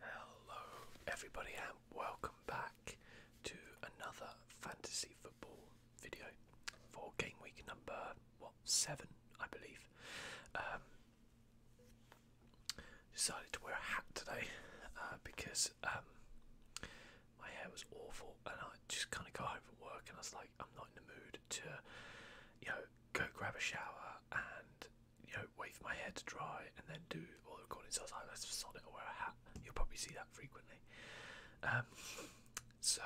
Hello, everybody, and welcome back to another fantasy football video for game week number what seven, I believe. Um, decided to wear a hat today uh, because um, my hair was awful, and I just kind of got home from work, and I was like, I'm not in the mood to, you know, go grab a shower and you know, wait for my hair to dry and then do all the recordings outside. Let's just sod it or wear a hat. You'll probably see that frequently. Um, so,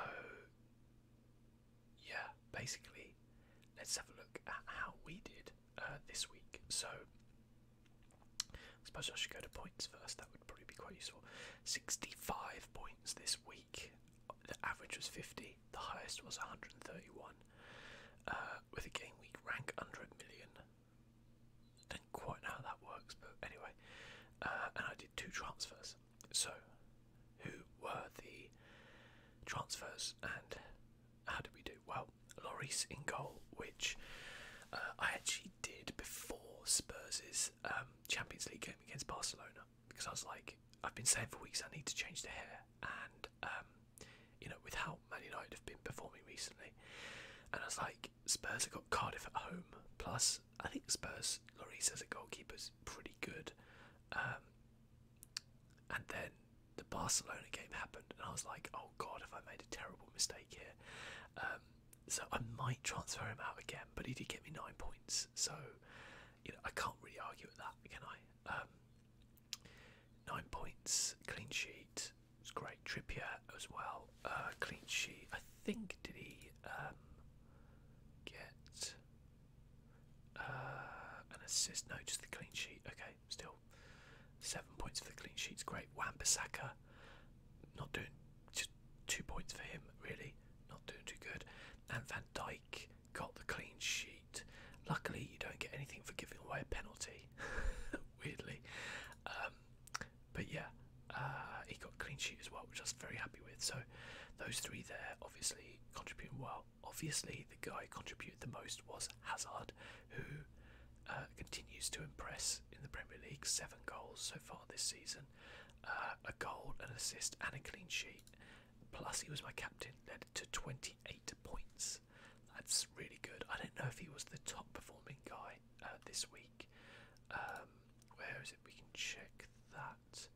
yeah, basically, let's have a look at how we did uh, this week. So, I suppose I should go to points first. That would probably be quite useful. 65 points this week. The average was 50. The highest was 131, uh, with a game week rank under a million. Don't quite know how that works, but anyway. Uh, and I did two transfers. So, who were the transfers and how did we do? Well, Loris in goal, which uh, I actually did before Spurs' um, Champions League game against Barcelona because I was like, I've been saying for weeks I need to change the hair, and um, you know, with how Man United have been performing recently. And I was like, Spurs have got Cardiff at home. Plus, I think Spurs, Lloris as a goalkeeper is pretty good. Um, and then the Barcelona game happened, and I was like, oh god, have I made a terrible mistake here? Um, so I might transfer him out again, but he did get me nine points, so you know I can't really argue with that, can I? Um, Nine points, clean sheet. It's great. Trippier as well. Uh, clean sheet. I think did he um, get uh, an assist? No, just the clean sheet. Okay, still seven points for the clean sheet. It's great. Wan Bissaka, not doing just two points for him really. Not doing too good. And Van Dyke got the clean sheet. Luckily, you don't get anything for giving away a penalty, weirdly. Um, but yeah, uh, he got clean sheet as well, which I was very happy with. So, those three there obviously contributed well. Obviously, the guy contributed the most was Hazard, who uh, continues to impress in the Premier League. Seven goals so far this season, uh, a goal, and assist, and a clean sheet. Plus, he was my captain, to 28 points. That's really good. I don't know if he was the top performing guy uh, this week. Um, where is it? We can check that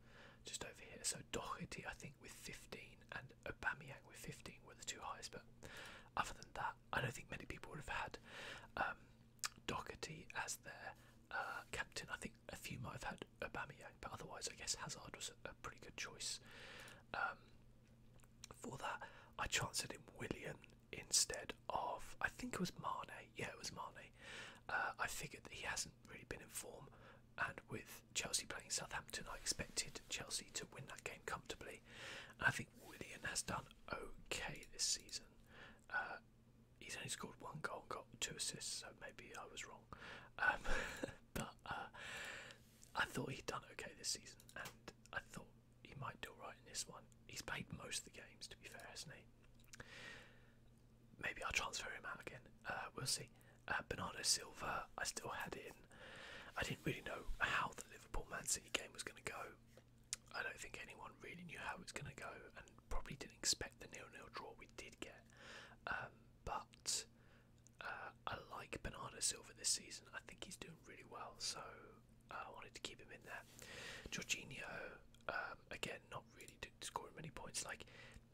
just over here. So Docherty, I think, with 15 and Aubameyang with 15 were the two highest. But other than that, I don't think many people would have had um, Docherty as their uh, captain. I think a few might have had Aubameyang but otherwise, I guess Hazard was a, pretty good choice. Um, for that, I chanced in William instead of, I think it was Mane. Yeah, it was Mane. Uh, I figured that he hasn't really been in form, and with Chelsea playing Southampton, I expected Chelsea to win that game comfortably. And I think William has done okay this season. Uh, he's only scored one goal and got two assists, so maybe I was wrong. Um, but uh, I thought he'd done okay this season, and I thought he might do alright in this one. He's played most of the games, to be fair, hasn't he? Maybe I'll transfer him out again. Uh, we'll see. Uh, Bernardo Silva, I still had in. I didn't really know how the Liverpool Man City game was going to go. I don't think anyone really knew how it was going to go, and probably didn't expect the nil-nil draw we did get. Um, but uh, I like Bernardo Silva this season. I think he's doing really well, so uh, I wanted to keep him in there. Jorginho, um, again, not really scoring many points. Like,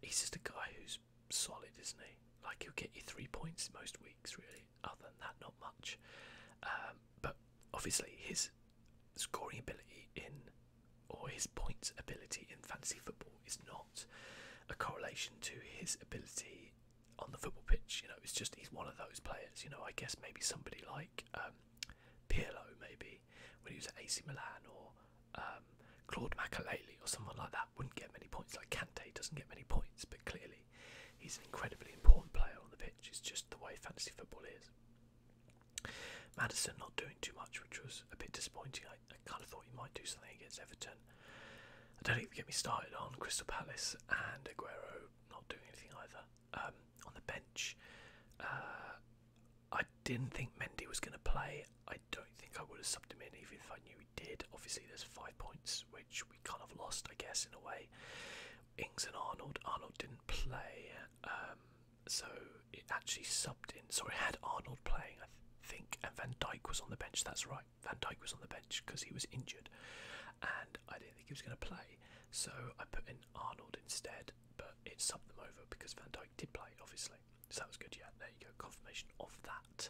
he's just a guy who's solid, isn't he? Like, he'll get you three points most weeks, really. Other than that, not much. Um, but obviously, his scoring ability in or his points ability in fantasy football is not a correlation to his ability on the football pitch. You know, it's just he's one of those players. You know, I guess maybe somebody like um, Pirlo, maybe when he was at AC Milan, or um, Claude Makélélé, or someone like that, wouldn't get many points. Like Kante doesn't get many points, but clearly he's an incredibly important player on the pitch. It's just the way fantasy football is. Madison not doing too much, which was a bit disappointing. I kind of thought he might do something against Everton. I don't even get me started on Crystal Palace and Aguero not doing anything either. Um, on the bench, uh, I didn't think Mendy was going to play. I don't think I would have subbed him in even if I knew he did. Obviously, there's five points which we kind of lost, I guess, in a way. Ings and Arnold. Arnold didn't play, um, so it actually subbed in. Sorry, had Arnold playing, I think, and Van Dyke was on the bench. That's right. Van Dyke was on the bench because he was injured, and I didn't think he was going to play, so I put in Arnold instead. But it subbed them over because Van Dyke did play, obviously. So that was good. Yeah, there you go. Confirmation of that.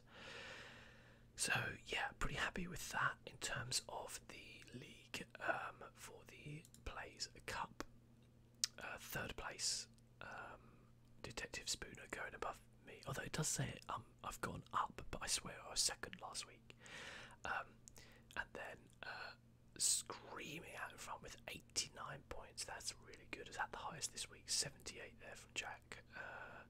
So yeah, pretty happy with that in terms of the league um, for the Plays Cup. Uh, third place, um, Detective Spooner going above me. Although it does say it, um, I've gone up, but I swear I was second last week. Um, and then uh, screaming out in front with 89 points. That's really good. Is that the highest this week? 78 there from Jack. Uh,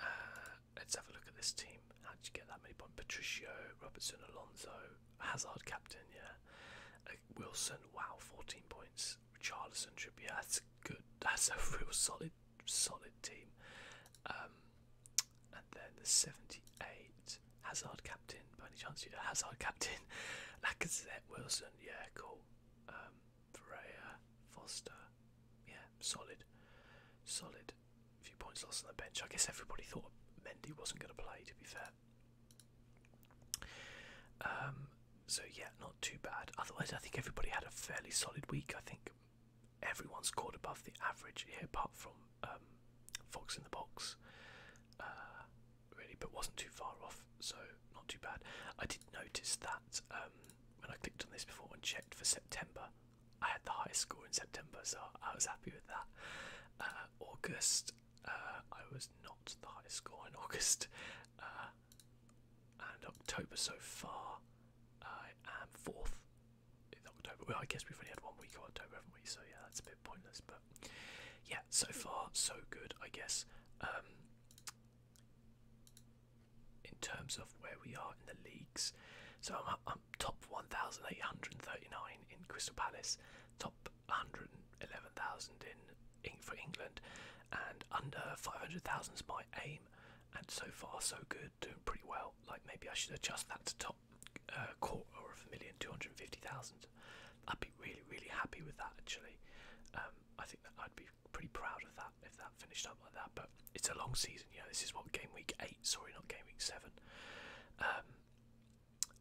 uh, let's have a look at this team. How did you get that many points? Patricio, Robertson, Alonso, Hazard, captain. Yeah. Wilson. Wow, 14 points. Richarlison should be. that's good. That's a real solid solid, team. Um, and then the 78, Hazard captain, by any chance, yeah, Hazard captain, Lacazette, Wilson, yeah, cool. Um, Foster, yeah, solid, solid. A few points lost on the bench. I guess everybody thought Mendy wasn't going to play, to be fair. Um, so yeah, not too bad. Otherwise, I think everybody had a fairly solid week. I think everyone scored above the average here, apart from um, Fox in the box, uh, really, but wasn't too far off. So not too bad. I did notice that um, when I clicked on this before and checked for September, I had the highest score in September, so I was happy with that. Uh, August, uh, I was not the highest score in August and October so far. I am fourth in October. Well, I guess we've only had one week of October, haven't we? So yeah, that's a bit pointless. But yeah, so far so good, I guess. Um, in terms of where we are in the leagues, so I'm, top 1,839 in Crystal Palace, top 111,000 in for England, and under 500,000 is aim, and so far so good, doing pretty well. Like maybe I should adjust that to top uh, quarter of a million two hundred fifty thousand. I'd be really really happy with that actually. Um, I think that I'd be pretty proud of that if that finished up like that. But it's a long season, you know. This is what game week eight, sorry, not game week seven. Um,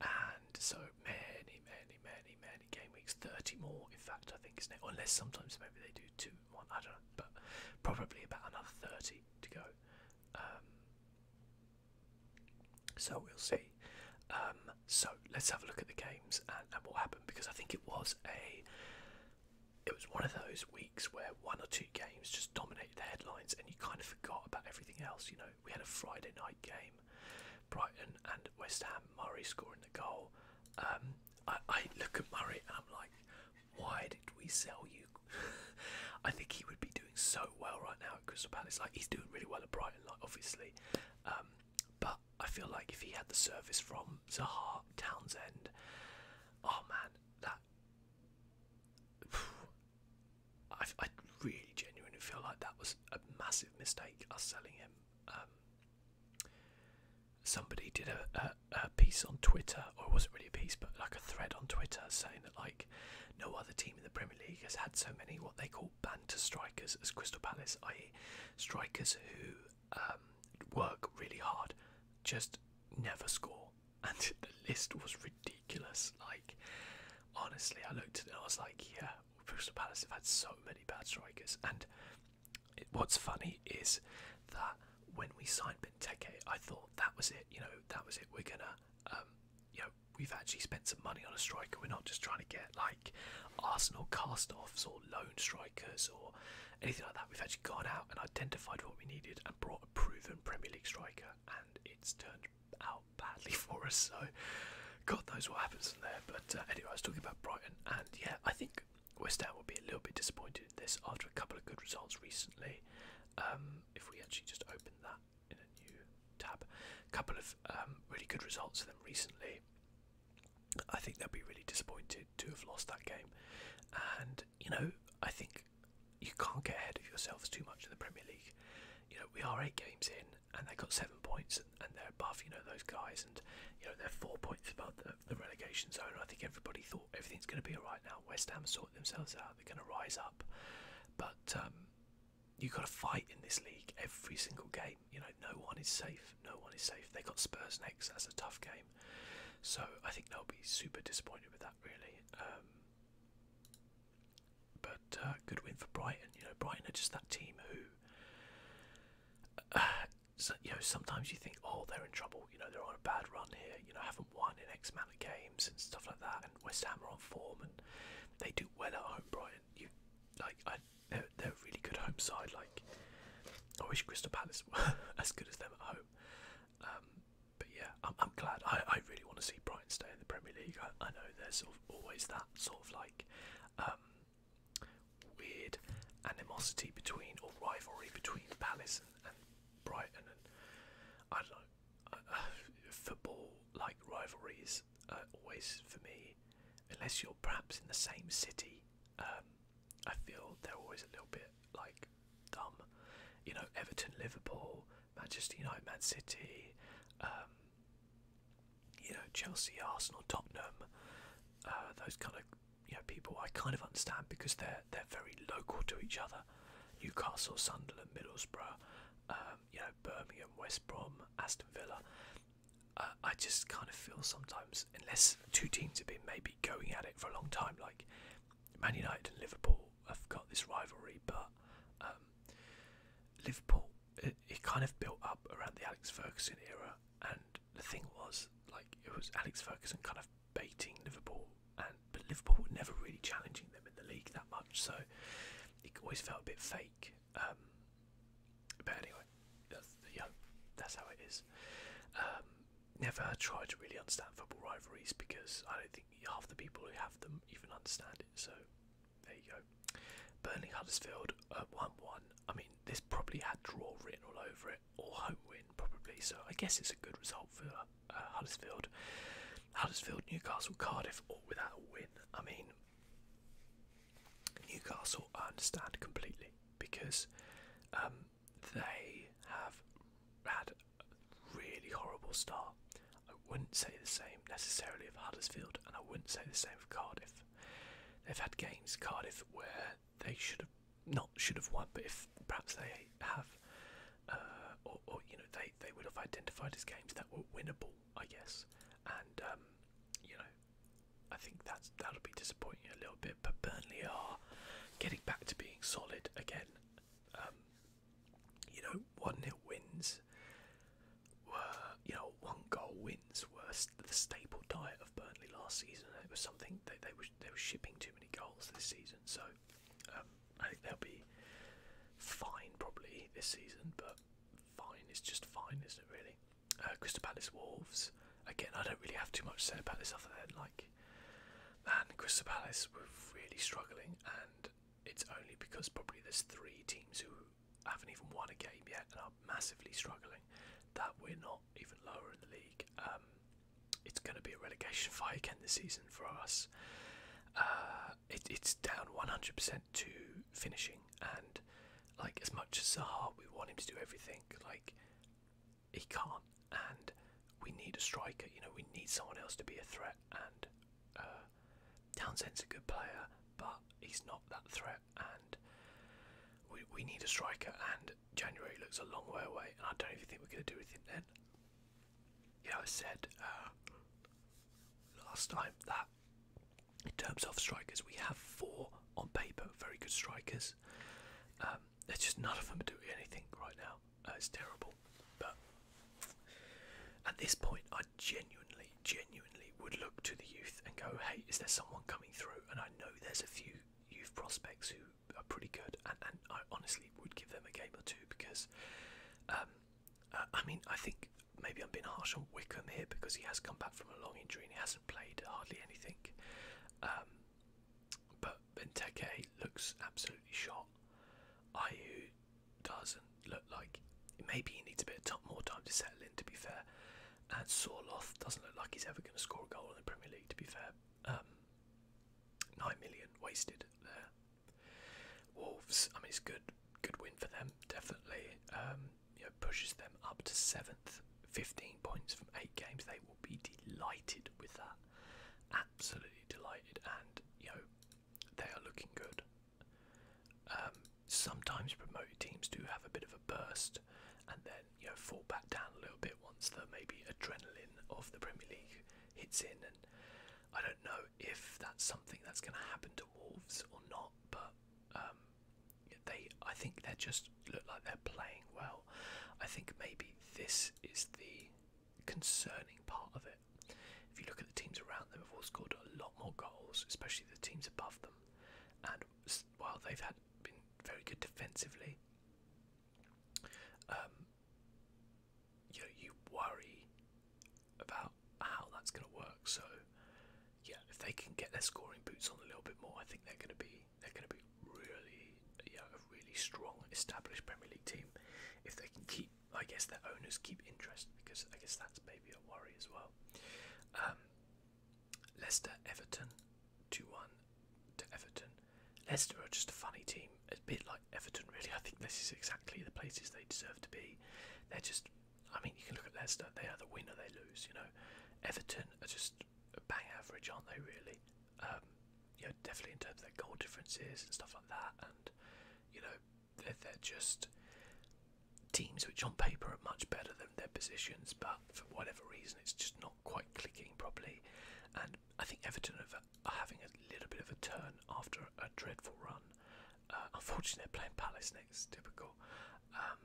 and so many, many, many, many game weeks. Thirty more, in fact, I think, isn't it? Unless sometimes maybe they do two I don't know, but probably about another 30 to go. Um, so we'll see. Um, so let's have a look at the games and, what happened because I think it was a. It was one of those weeks where one or two games just dominated the headlines, and you kind of forgot about everything else. You know, we had a Friday night game, Brighton and West Ham, Murray scoring the goal. Um, I, I look at Murray and I'm like, why did we sell you? I think he would be doing so well right now at Crystal Palace. Like he's doing really well at Brighton, like obviously. Um, but I feel like if he had the service from Zaha, Townsend, oh man, that I, I really genuinely feel like that was a massive mistake us selling him. Um, somebody did a, a, piece on Twitter, or it wasn't really a piece, but like a thread on Twitter saying that like no other team in the Premier League has had so many what they call banter strikers as Crystal Palace, i.e., strikers who um, work really hard, just never score. And the list was ridiculous. Like, honestly, I looked at it I was like, yeah, Crystal Palace have had so many bad strikers, and what's funny is that when we signed Benteke, I thought that was it. You know, that was it. We're gonna, um, you know, we've actually spent some money on a striker. We're not just trying to get like Arsenal cast-offs or loan strikers or anything like that. We've actually gone out and identified what we needed and brought a proven Premier League striker, and it's turned out badly for us. So, God knows what happens from there. But uh, anyway, I was talking about Brighton, and yeah, I think West Ham will be a little bit disappointed in this after a couple of good results recently. Um, if we actually just open that in a new tab, a couple of um, really good results for them recently. I think they'll be really disappointed to have lost that game. And, you know, I think you can't get ahead of yourselves too much in the Premier League. You know, we are eight games in and they got seven points and, they're above, you know, those guys and, you know, they're four points above them the relegation zone. I think everybody thought everything's going to be all right now. West Ham sort themselves out. They're going to rise up, but um, you've got to fight in this league every single game. You know, no one is safe. No one is safe. They got Spurs next. That's a tough game. So I think they'll be super disappointed with that, really. Um, but uh, good win for Brighton. You know, Brighton are just that team who. Uh, so, you know, sometimes you think, oh, they're in trouble. You know, they're on a bad run here. You know, haven't won in X amount of games and stuff like that. And West Ham are on form, and they do well at home. Brighton, you like, I, they're, they're a really good home side. Like, I wish Crystal Palace were as good as them at home. Um, but yeah, I'm, I'm glad. I, I really want to see Brighton stay in the Premier League. I, I know there's sort of always that sort of like, um, weird animosity between or rivalry between Palace and, and Brighton and I don't know uh, uh, football like rivalries are always for me unless you're perhaps in the same city um, I feel they're always a little bit like dumb you know Everton Liverpool Manchester United Man City um, you know Chelsea Arsenal Tottenham uh, those kind of you know, people I kind of understand because they're they're very local to each other. Newcastle, Sunderland, Middlesbrough, um, you know, Birmingham, West Brom, Aston Villa. Uh, I just kind of feel sometimes, unless two teams have been maybe going at it for a long time, like Man United and Liverpool have got this rivalry, but um, Liverpool it kind of built up around the Alex Ferguson era, and the thing was, like, it was Alex Ferguson kind of baiting Liverpool, and but Liverpool were never really challenging them in the league that much, so it always felt a bit fake. Um, but anyway, that's, yeah, that's how it is. Um, never tried to really understand football rivalries because I don't think half the people who have them even understand it. So there you go. Burnley Huddersfield one-one. Uh, I mean, this probably had draw written all over it or home win probably. So I guess it's a good result for uh, Huddersfield. Huddersfield, Newcastle, Cardiff, all without a win. I mean, Newcastle, I understand completely because um, they have had a really horrible start. I wouldn't say the same necessarily of Huddersfield, and I wouldn't say the same of Cardiff. They've had games, Cardiff, where they should have not should have won, but if perhaps they have, uh, or, you know they they would have identified as games that were winnable, I guess, and um, you know I think that's that'll be disappointing a little bit. But Burnley are getting back to being solid again. Um, you know, one nil wins were you know one goal wins were the staple diet of Burnley last season. It was something that they were they were shipping too many goals this season. So um, I think they'll be fine probably this season, but fine is just fine, isn't it? Really. Uh, Crystal Palace Wolves. Again, I don't really have too much to say about this other than like, man, Crystal Palace were really struggling, and it's only because probably there's three teams who haven't even won a game yet and are massively struggling that we're not even lower in the league. Um, it's going to be a relegation fight again this season for us. Uh, it's down 100% to finishing, and like as much as Zaha, we want him to do everything. Like he can't, and we need a striker. You know, we need someone else to be a threat. And uh, Townsend's a good player, but he's not that threat. And we we need a striker. And January looks a long way away, and I don't even think we're going to do anything then. You I said uh, last time that in terms of strikers, we have four on paper very good strikers. Um, it's just none of them are doing anything right now. Uh, it's terrible. But at this point, I genuinely, genuinely would look to the youth and go, hey, is there someone coming through? And I know there's a few youth prospects who are pretty good, and, and I honestly would give them a game or two because, um, uh, I mean, I think maybe I'm being harsh on Wickham here because he has come back from a long injury and he hasn't played hardly anything. Um, but Benteke looks absolutely shot. Ayu doesn't look like maybe he needs a bit of more time to settle in. To be fair, and Sorloth doesn't look like he's ever going to score a goal in the Premier League. To be fair, um, nine million wasted there. Wolves. I mean, it's good, good win for them. Definitely, um, you know, pushes them up to seventh, fifteen points from eight games. They will be delighted with that. Absolutely delighted, and you know, they are looking good. Um, sometimes promoted teams do have a bit of a burst, and then you know fall back down a little bit once the maybe adrenaline of the Premier League hits in. And I don't know if that's something that's going to happen to Wolves or not, but um, they I think they just look like they're playing well. I think maybe this is the concerning part of it. If you look at the teams around them, have all scored a lot more goals, especially the teams above them. And while they've had been very good defensively, um, you know, you worry about how that's going to work. So, yeah, if they can get their scoring boots on a little bit more, I think they're going to be they're going to be really, you know, a really strong, established Premier League team. If they can keep, I guess, their owners keep interest, because I guess that's maybe a worry as well. Um, Leicester, Everton. 2 1 to Everton. Leicester are just a funny team, a bit like Everton, really. I think this is exactly the places they deserve to be. They're just, I mean, you can look at Leicester, they are the winner, they lose, you know. Everton are just bang average, aren't they, really? Um, definitely in terms of their goal differences and stuff like that, and, you know, they're, they're just teams which on paper are much better than their positions, but for whatever reason, it's just not quite clicking properly. And I think Everton are having a little bit of a turn after a dreadful run. Uh, unfortunately, they're playing Palace next, typical. Um,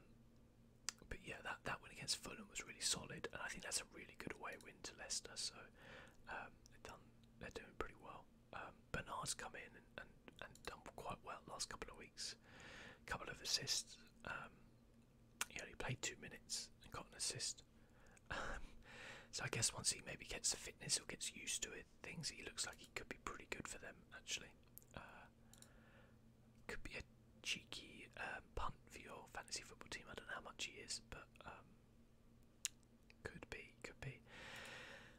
but yeah, that, that win against Fulham was really solid, and I think that's a really good away win to Leicester. So um, they are doing pretty well. Um, Bernard's come in and, and, done quite well last couple of weeks, couple of assists. He only played two minutes and got an assist. Um, so I guess once he maybe gets the fitness or gets used to it, things he looks like he could be pretty good for them actually. Uh, could be a cheeky um, punt for your fantasy football team. I don't know how much he is, but um, could be, could be.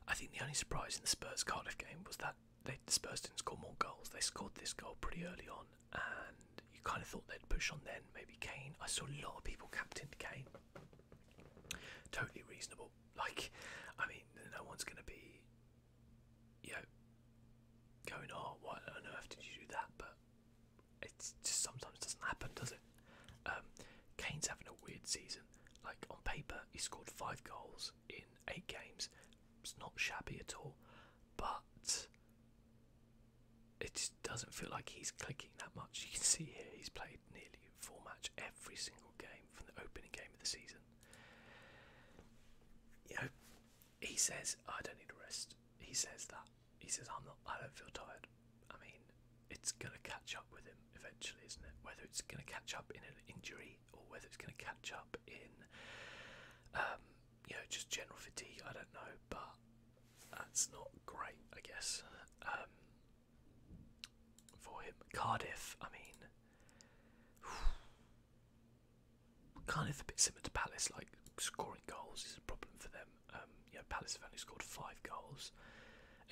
I think the only surprise in the Spurs Cardiff game was that they, the Spurs didn't score more goals. They scored this goal pretty early on, and you kind of thought they'd push on then, maybe Kane. I saw a lot of people captained Kane. Totally reasonable. Like, I mean, no one's going to be, you know, going, oh, what on earth did you do that? But it just sometimes doesn't happen, does it? Um, Kane's having a weird season. Like, on paper, he scored five goals in eight games. It's not shabby at all, but it just doesn't feel like he's clicking that much. You can see here he's played nearly four match every single game from the opening game of the season. You know, he says I don't need a rest. He says that. He says I'm not. I don't feel tired. I mean, it's gonna catch up with him eventually, isn't it? Whether it's gonna catch up in an injury or whether it's gonna catch up in, um, you know, just general fatigue. I don't know, but that's not great, I guess, um, for him. Cardiff, I mean, kind of a bit similar to Palace, like scoring goals is a problem for them. Um, you know, Palace have only scored five goals.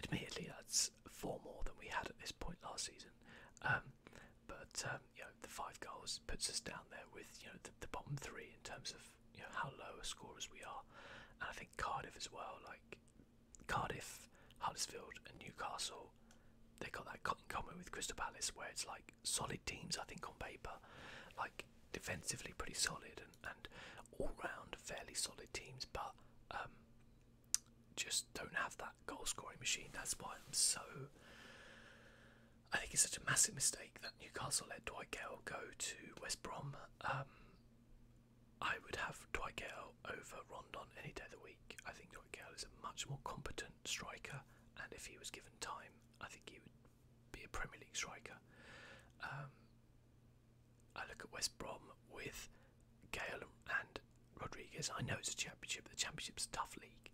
Admittedly, that's four more than we had at this point last season. Um, but um, you know, the five goals puts us down there with you know the bottom three in terms of how low a scorers we are, and I think Cardiff as well. Like Cardiff, Huddersfield, and Newcastle, they got that in common with Crystal Palace, where it's like solid teams. I think on paper, like defensively pretty solid and, and all round fairly solid teams, but um, just don't have that goal scoring machine. That's why I'm so I think it's such a massive mistake that Newcastle let Dwight Gale go to West Brom. Um, I would have Dwight Gale over Rondon any day of the week. I think Dwight Gale is a much more competent striker, and if he was given time, I think he would be a Premier League striker. Um, I look at West Brom with Gale and Rodriguez. I know it's a championship, but the championship's tough league,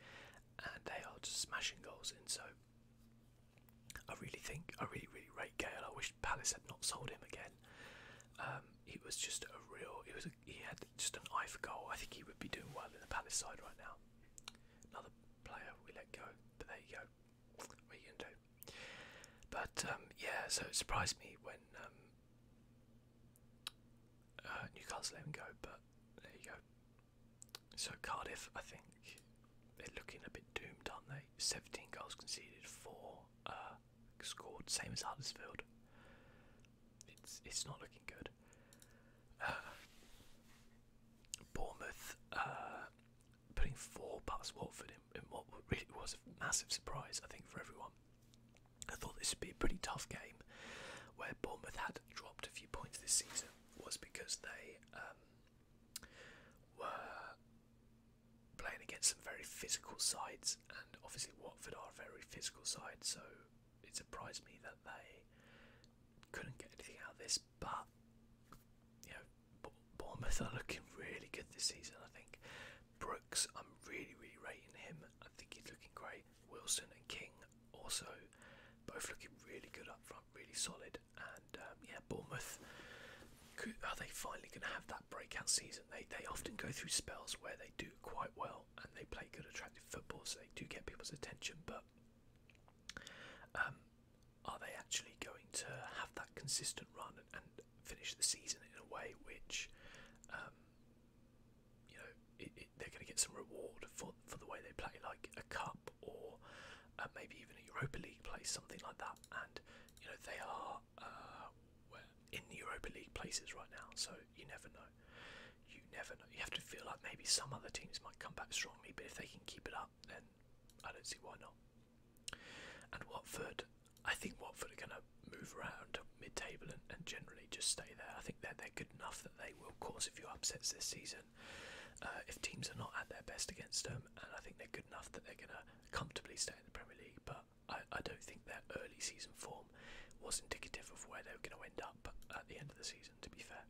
and they are just smashing goals in. So I really think I really really rate Gale. I wish Palace had not sold him again. Um, he was just a real. He was. he had just an eye for goal. I think he would be doing well in the Palace side right now. Another player we let go, but there you go. What are you gonna do? But um, yeah, so it surprised me when um, uh, Newcastle let him go. But there you go. So Cardiff, I think they're looking a bit doomed, aren't they? 17 goals conceded, four uh, scored, same as Huddersfield. It's it's not looking good. Uh, Bournemouth uh, putting four past Watford in, what really was a massive surprise, I think, for everyone. I thought this would be a pretty tough game. Where Bournemouth had dropped a few points this season was because they um, were playing against some very physical sides, and obviously Watford are a very physical side, so it surprised me that they couldn't get anything out of this. But you know, Bournemouth are looking really good this season. I think Brooks, I'm really really rating him. I think he's looking great. Wilson and King also both looking really good up front, really solid and um, yeah, Bournemouth. are they finally going to have that breakout season? They they often go through spells where they do quite well and they play good, attractive football, so they do get people's attention. But um, are they actually going to have that consistent run and, finish the season in a way which, um, you know, they're going to get some reward for for the way they play, like a cup or uh, maybe even a Europa League place, something like that. And you know they are uh, in the Europa League places right now, so you never know. You never know. You have to feel like maybe some other teams might come back strongly, but if they can keep it up, then I don't see why not. And Watford, I think Watford are going to move around mid-table and, and generally just stay there. I think that they're, they're good enough that they will cause a few upsets this season. Uh, if teams are not at their best against them, and I think they're good enough that they're going to comfortably stay in the Premier League, but I, don't think their early season form was indicative of where they are going to end up at the end of the season, to be fair.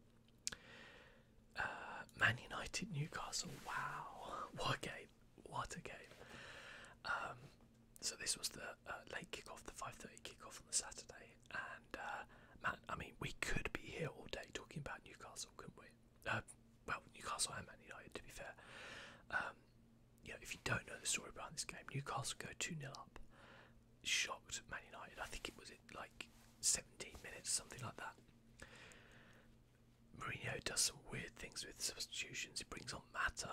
Uh, man United, Newcastle, wow, what a game, what a game. Um, so this was the uh, late kick off, the 5.30 kick off on the Saturday, and uh, man, I mean, we could be here all day talking about Newcastle, couldn't we? Uh, well, Newcastle and Man United, to be fair. Um, if you don't know the story behind this game, Newcastle go 2 0 up, shocked Man United. I think it was in like 17 minutes, something like that. Mourinho does some weird things with substitutions. He brings on Mata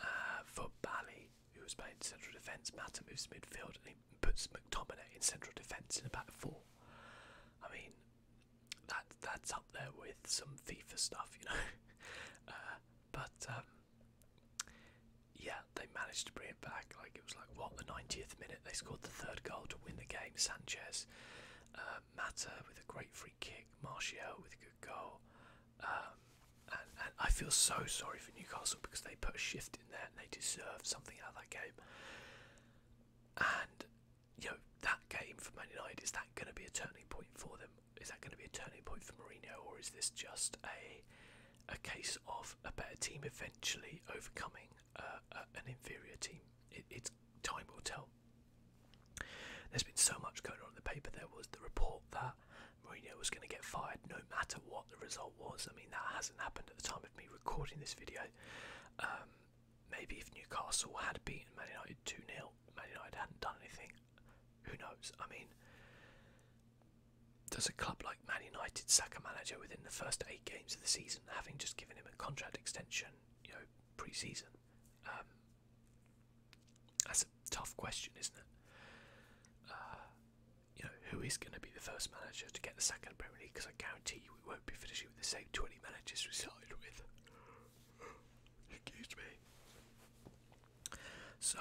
uh, for Bally, who was playing central defence. Mata moves to midfield and he puts McTominay in central defence in about four. I mean, that that's up there with some FIFA stuff, you know. Uh, but um, yeah, they managed to bring it back. Like it was like what the 90th minute they scored the third goal to win the game. Sanchez, uh, Mata with a great free kick, Martial with a good goal. Um, and, I feel so sorry for Newcastle because they put a shift in there and they deserve something out of that game. And you that game for Man United, is that going to be a turning point for them? Is that going to be a turning point for Mourinho, or is this just a a case of a better team eventually overcoming an inferior team? it's time will tell. There's been so much going on in the paper. There was the report that Mourinho was going to get fired no matter what the result was. I mean, that hasn't happened at the time of me recording this video. Um, Maybe if Newcastle had beaten Man United 2 0, Man United hadn't done anything. Who knows? I mean, does a club like Man United sack a manager within the first eight games of the season, having just given him a contract extension, you know, pre season? Um, that's a tough question, isn't it? Uh, you know, who is going to be the first manager to get the second Premier League? Because I guarantee you we won't be finishing with the same 20 managers we started with. Excuse me. So,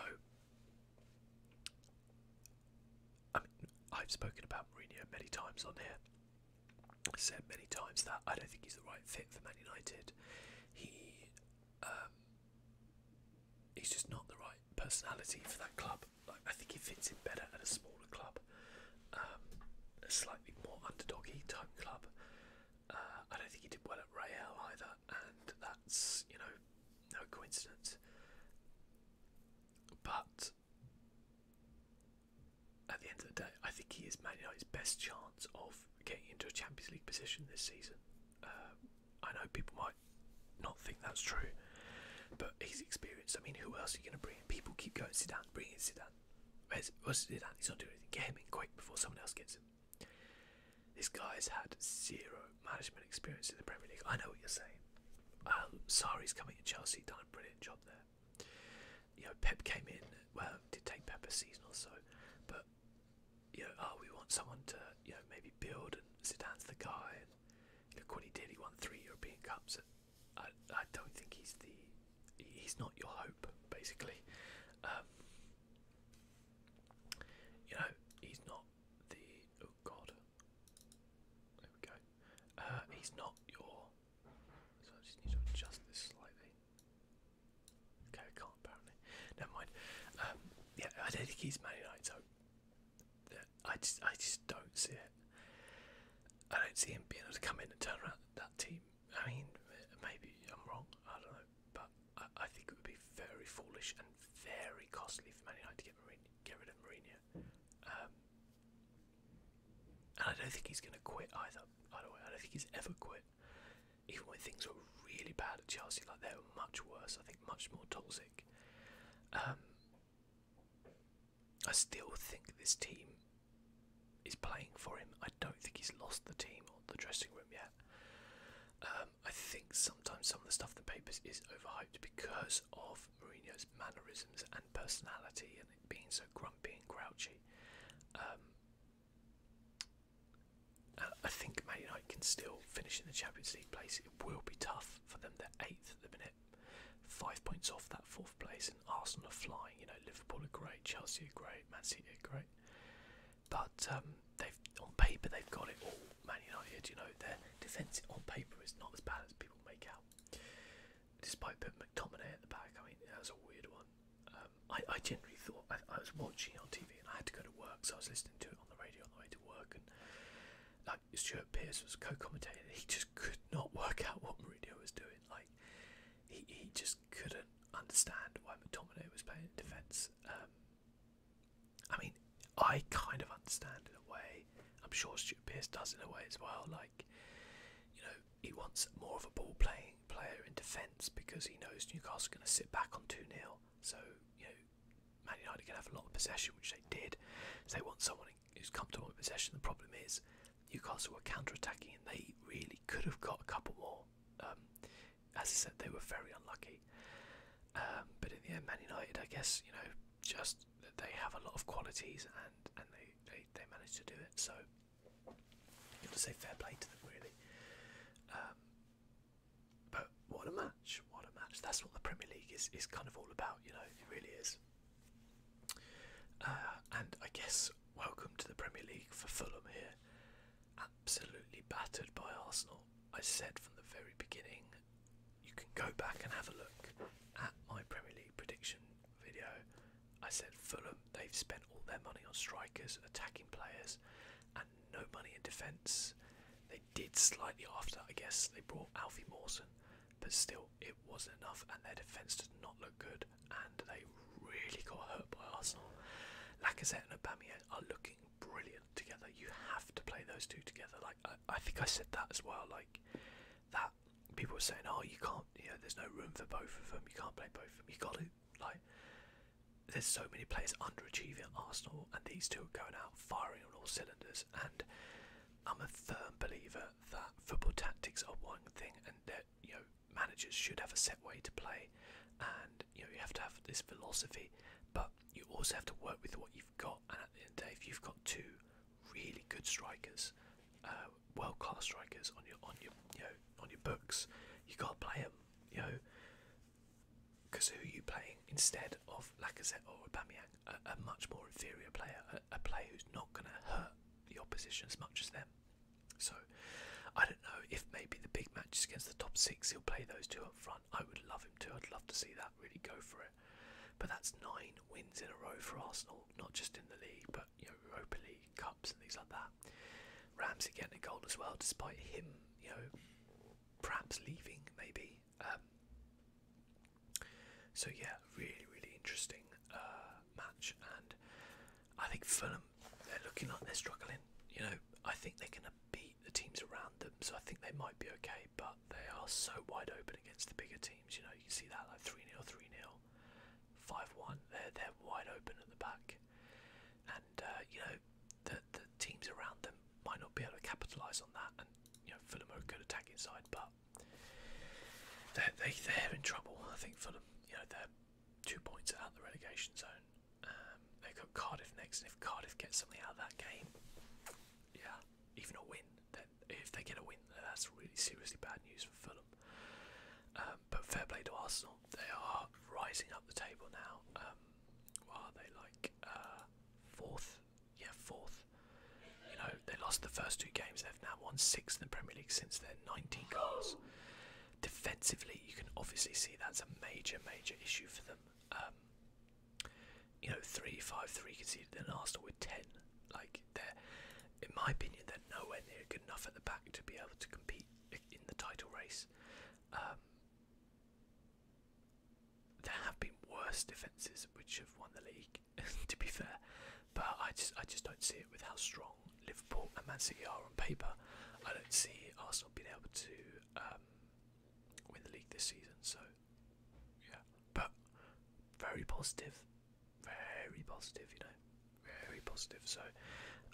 I have spoken about Mourinho many times on here. said many times that I don't think he's the right fit for Man United. He, um, he's just not the right personality for that club. Like, I think he fits in better at a smaller club. Um, a slightly more underdoggy type club. Uh, I don't think he did well at Real either, and that's you know no coincidence. But at the end of the day, I think he is Man United's best chance of getting into a Champions League position this season. Uh, I know people might not think that's true, but he's experienced. I mean, who else are you going to bring? People keep going Zidane, bring in Zidane, Where's what's his hand? He's not doing anything. Get him in quick before someone else gets him. This guy's had zero management experience in the Premier League. I know what you're saying. Um, Sari's coming to Chelsea, done a brilliant job there. You know, Pep came in, well, did take Pep a season or so, but you know, oh, we want someone to, you know, maybe build and Zidane's the guy. look what he did. He won three European Cups I, I don't think he's the he's not your hope basically. Um, you know he's not the oh god. There we go. Uh, he's not your. So I just need to adjust this slightly. Okay, I can't apparently. Never mind. Um, yeah, I don't think he's Man United. So I just I just don't see it. I don't see him being able to come in and turn around that team. I mean, maybe I'm wrong. I don't know, but I, think it would be very foolish and very costly for Man United to get rid of Mourinho. Um, and I don't think he's going to quit either. I don't think he's ever quit. Even when things were really bad at Chelsea, like they were much worse. I think much more toxic. Um, I still think this team is playing for him. I don't think he's lost the team or the dressing room yet. Um, I think sometimes some of the stuff in the papers is overhyped because of Mourinho's mannerisms and personality and being so grumpy and grouchy. Um, I think Man United can still finish in the Champions League place. It will be tough for them. They're eighth at the minute. Five points off that fourth place, and Arsenal are flying. You know, Liverpool are great, Chelsea are great, Man City are great. But um, they've on paper they've got it all. Man United, you know, their defence on paper is not as bad as people make out. Despite putting McTominay at the back, I mean that was a weird one. Um, I, generally thought I, I was watching on TV and I had to go to work, so I was listening to it on the radio on the way to work. And like Stuart Pearce was co-commentating, he just could not work out what Mourinho was doing. Like he he just couldn't understand why McTominay was playing defence. Um, I mean, I kind of understand in a way. I'm sure Stuart Pearce does in a way as well. Like you know, he wants more of a ball playing player in defence because he knows Newcastle are going to sit back on two 0 So you know, Man United are going to have a lot of possession, which they did. they want someone in who's come to possession. The problem is Newcastle were counter-attacking and they really could have got a couple more. Um, as I said, they were very unlucky. Um, but in the end, Man United, I guess you know, just they have a lot of qualities and and they they, they managed to do it. So you have to say fair play to them, really. Um, but what a match! What a match! That's what the Premier League is is kind of all about. You know, it really is. Uh, and I guess welcome to the Premier League for Fulham here. Absolutely battered by Arsenal. I said from the very beginning, you can go back and have a look at my Premier League prediction video. I said Fulham, they've spent all their money on strikers, attacking players, and no money in defence. They did slightly after, I guess. They brought Alfie Mawson, but still, it wasn't enough, and their defence did not look good, and they really got hurt by Arsenal. Lacazette and Aubameyang are looking brilliant together. You have to play those two together. Like I, think I said that as well. Like that people are saying, "Oh, you can't. You know, there's no room for both of them. You can't play both of them. You got to like." There's so many players underachieving at Arsenal, and these two are going out firing on all cylinders. And I'm a firm believer that football tactics are one thing, and you know managers should have a set way to play, and you know you have to have this philosophy, but you also have to work with what you've got. And at the end of the day, if you've got two really good strikers, uh, world class strikers on your on your you know on your books, you gotta play them. You know, because who are you playing instead of Lacazette or Aubameyang? A, a much more inferior player, a player who's not gonna hurt the opposition as much as them. So, I don't know if maybe the big matches against the top six, he'll play those two up front. I would love him too. I'd love to see that really go for it. But that's nine wins in a row for Arsenal, not just in the league, but you know, Europa League cups and things like that. Ramsey getting a goal as well, despite him, you know, perhaps leaving maybe. Um, so yeah, really, really interesting. Uh, match, and I think Fulham they're looking like they're struggling. You know, I think they're going to beat the teams around them, so I think they might be okay. But they are so wide open against the bigger teams. You know, you can see that like three 0 three 0 five one. They're they're wide open at the back, and uh, you know the the teams around them might not be able to capitalise on that. And you know, Fulham are a good attacking side, but they're, they, they're in trouble, I think, for them. You know, they're two points out of the relegation zone. Um, they've got Cardiff next, and if Cardiff gets something out of that game, yeah, even a win, then if they get a win, that's really seriously bad news for Fulham. Um, but fair play to Arsenal, they are rising up the table now. Um, are they like? Uh, fourth? Yeah, fourth. You know, they lost the first two games. They've now won six in the Premier League since then, 19 goals. Defensively, you can obviously see that's a major, major issue for them. Um, you know, three, five, three conceded, then Arsenal with ten. Like they're, in my opinion, they're nowhere near good enough at the back to be able to compete in the title race. Um, there have been worse defenses which have won the league. to be fair, but I just I just don't see it with how strong Liverpool and Man City are on paper. I don't see Arsenal being able to um, win the league this season. So yeah, but very positive, very positive. You know, very positive. So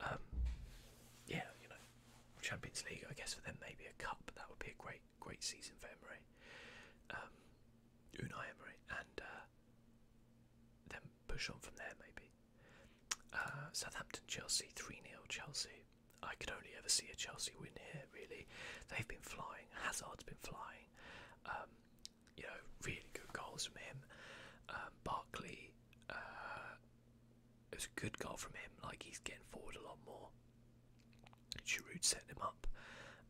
um, yeah, you know, Champions League. I guess for them maybe a cup. That would be a great great season for Emery. Um, Unai Emery and uh, push on from there, maybe. Uh, Southampton, Chelsea, 3 0 Chelsea. I could only ever see a Chelsea win here, really. They've been flying, Hazard's been flying. Um, you know, really good goals from him. Um, Barkley, uh, it was a good goal from him, like he's getting forward a lot more. Giroud setting him up,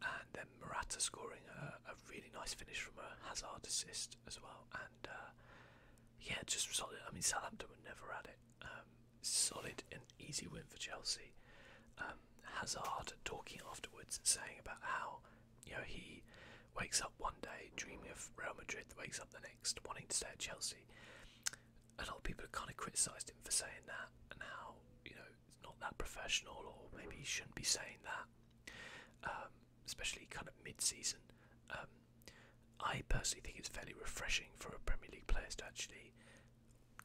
and then Morata scoring a really nice finish from a Hazard assist as well, and uh, yeah, just solid. I mean, Southampton were never at it. Um, solid and easy win for Chelsea. Um, Hazard talking afterwards, and saying about how you know he wakes up one day dreaming of Real Madrid, wakes up the next wanting to stay at Chelsea. A lot of people have kind of criticised him for saying that, and how you know it's not that professional, or maybe he shouldn't be saying that. Um, especially kind of mid-season. Um, I personally think it's fairly refreshing for a Premier League player to actually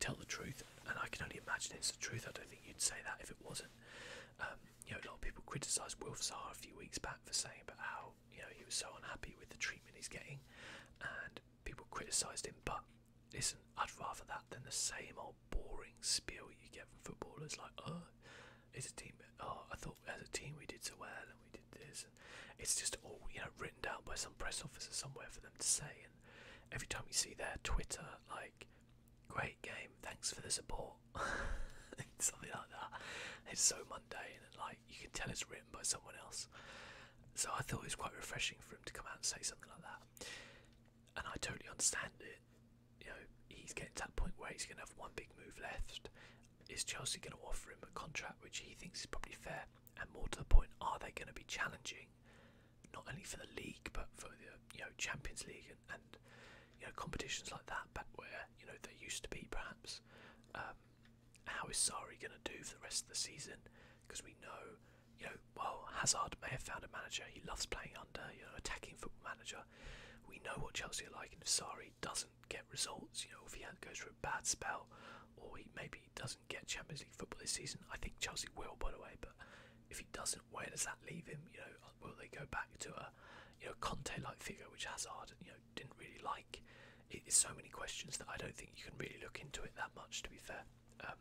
tell the truth, and I can only imagine it's the truth. I don't think you'd say that if it wasn't. Um, you know, a lot of people criticised Wilf Zaha a few weeks back for saying about how you know he was so unhappy with the treatment he's getting, and people criticised him. But listen, I'd rather that than the same old boring spiel you get from footballers like, oh, it's a team. Oh, I thought as a team we did so well and we did this. it's just all you know written down by some press officer somewhere for them to say. And every time you see their Twitter, like, great game, thanks for the support. Something like that. It's so mundane and like you can tell it's written by someone else. So I thought it was quite refreshing for him to come out and say something like that. And I totally understand it you know, he's getting to that point where he's going to have one big move left. Is Chelsea going to offer him a contract which he thinks is probably fair? And more to the point, are they going to be challenging not only for the league but for the you know Champions League and, you know competitions like that back where you know they used to be perhaps? Um, how is Sari going to do for the rest of the season? Because we know, you know, well Hazard may have found a manager he loves playing under, you know, attacking football manager. We know what Chelsea are like, and if Sari doesn't get results, you know, if he goes through a bad spell, or he maybe doesn't get Champions League football this season, I think Chelsea will, by the way. But if he doesn't, where does that leave him? You know, will they go back to a, you know, Conte-like figure, which Hazard, you know, didn't really like? It's so many questions that I don't think you can really look into it that much. To be fair, um,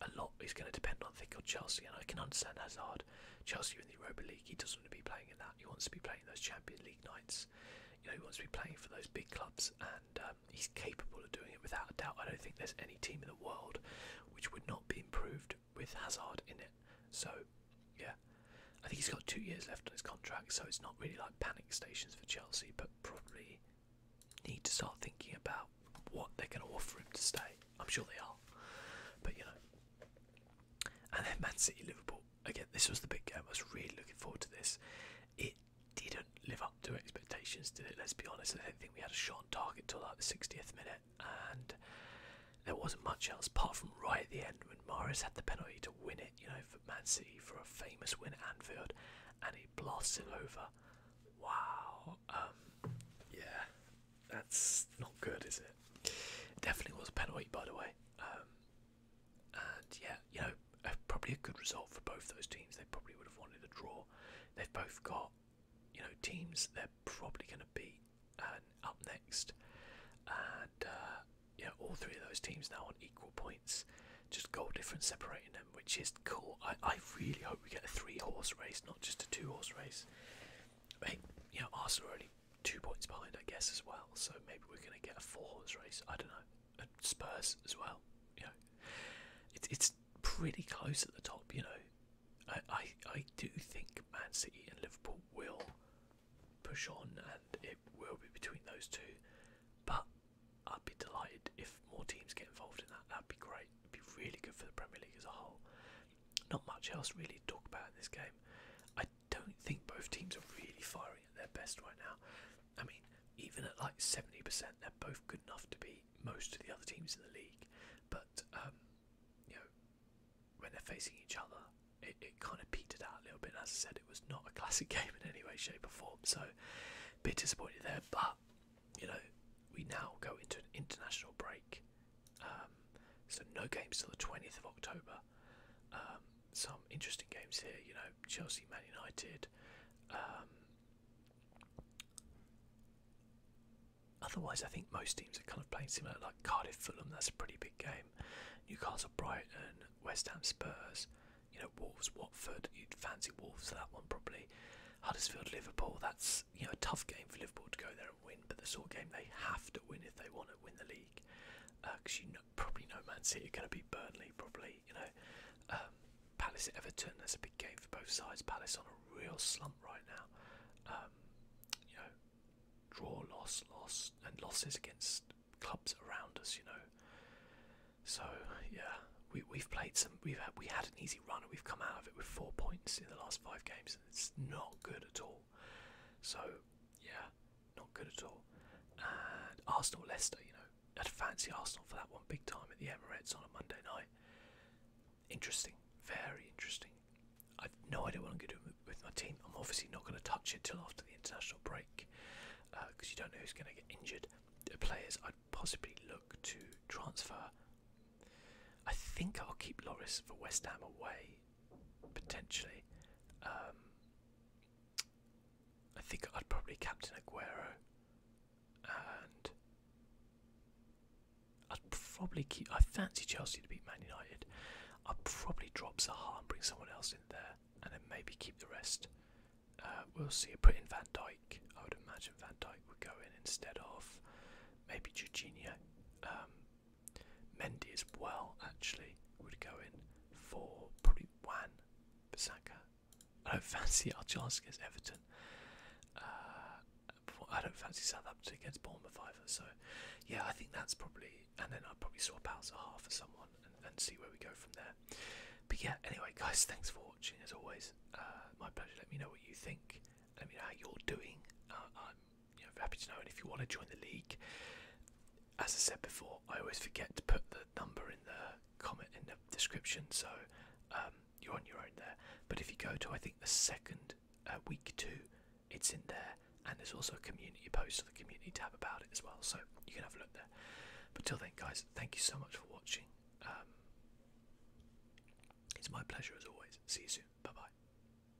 a lot is going to depend on I think Chelsea, and I can understand Hazard Chelsea in the Europa League. He doesn't want to be playing in that. He wants to be playing those Champions League nights. You know, he wants to be playing for those big clubs, and um, he's capable of doing it without a doubt. I don't think there's any team in the world which would not be improved with Hazard in it. So, yeah, I think he's got two years left on his contract, so it's not really like panic stations for Chelsea, but probably need to start thinking about what they're going to offer him to stay. I'm sure they are, but you know, and then Man City Liverpool. Again, this was the big game. I was really looking forward to this. It didn't live up to expectations, did it? Let's be honest. I don't think we had a shot target till like the 60th minute, and there wasn't much else apart from right at the end when Mares had the penalty to win it, you know, for Man City for a famous win at Anfield, and he blasts it over. Wow. Um, yeah, that's not good, is it? Definitely was a penalty, by the way. Um, and yeah, you know, probably a good result for both those teams. They probably would have wanted a draw. They've both got, you know, teams they're probably going to be up next. And yeah, uh, all three of those teams now on equal points, just goal difference separating them, which is cool. I, I really hope we get a three horse race, not just a two horse race. Hey, yeah, know, Arsenal are two points behind, I guess, as well. So maybe we're going to get a four-horse race. I don't know. Spurs as well. You it's it's pretty close at the top. You know, I, I do think Man City and Liverpool will push on, and it will be between those two. But I'd be delighted if more teams get involved in that. That'd be great. It'd be really good for the Premier League as a whole. Not much else really to talk about in this game. I don't think both teams are really firing at their best right now. I mean, even at like 70%, they're both good enough to beat most of the other teams in the league. But, um, you know, when they're facing each other, it, it kind of petered out a little bit. As I said, it was not a classic game in any way, shape, or form. So, a bit disappointed there. But, you know, we now go into an international break. Um, so no games till the 20th of October. Um, some interesting games here, you know, Chelsea, Man United. Um, otherwise, I think most teams are kind of playing similar, like Cardiff, Fulham. That's a pretty big game. Newcastle, Brighton, West Ham, Spurs. You know, Wolves, Watford. You'd fancy Wolves for that one probably. Huddersfield, Liverpool. That's you know a tough game for Liverpool to go there win, but the sort of game they have to win if they want to win the league. Because uh, you probably know Man City are going to be Burnley, probably. You know, um, Palace Everton. That's a big game for both sides. Palace on a real slump right now. Um, you know, draw, loss, loss, and losses against clubs around us. You know, so yeah, we we've played some. We've had, we had an easy run and we've come out of it with four points in the last five games, it's not good at all. So yeah, not good at all. And Arsenal Leicester, you know, had a fancy Arsenal for that one big time at the Emirates on a Monday night. Interesting, very interesting. I've no idea what I'm going to do with my team. I'm obviously not going to touch it till after the international break because uh, you don't know who's going to get injured. players I'd possibly look to transfer. I think I'll keep Loris for West Ham away potentially. Um, I think I'd probably captain Aguero, and I'd probably keep. I fancy Chelsea to beat Man United. I'd probably drop Zaha and bring someone else in there, and then maybe keep the rest. Uh, we'll see. Put in Van Dijk. I would imagine Van Dijk would go in instead of maybe Jorginho. Um, Mendy as well, actually, would go in for probably Wan Bissaka. I don't fancy our chance against Everton. Uh, I don't fancy Southampton against Bournemouth either. So, yeah, I think that's probably. And then I'll probably swap out Zaha for someone and, see where we go from there. But yeah, anyway, guys, thanks for watching as always. Uh, my pleasure. Let me know what you think. Let me know how you're doing. Uh, happy to know. And if you want to join the league, as I said before, I always forget to put the number in the comment in the description, so um, you're on your own there. But if you go to, I think, the second uh, week two, it's in there, and there's also a community post on the community tab about it as well, so you can have a look there. But till then, guys, thank you so much for watching. Um, it's my pleasure as always. See you soon. Bye bye.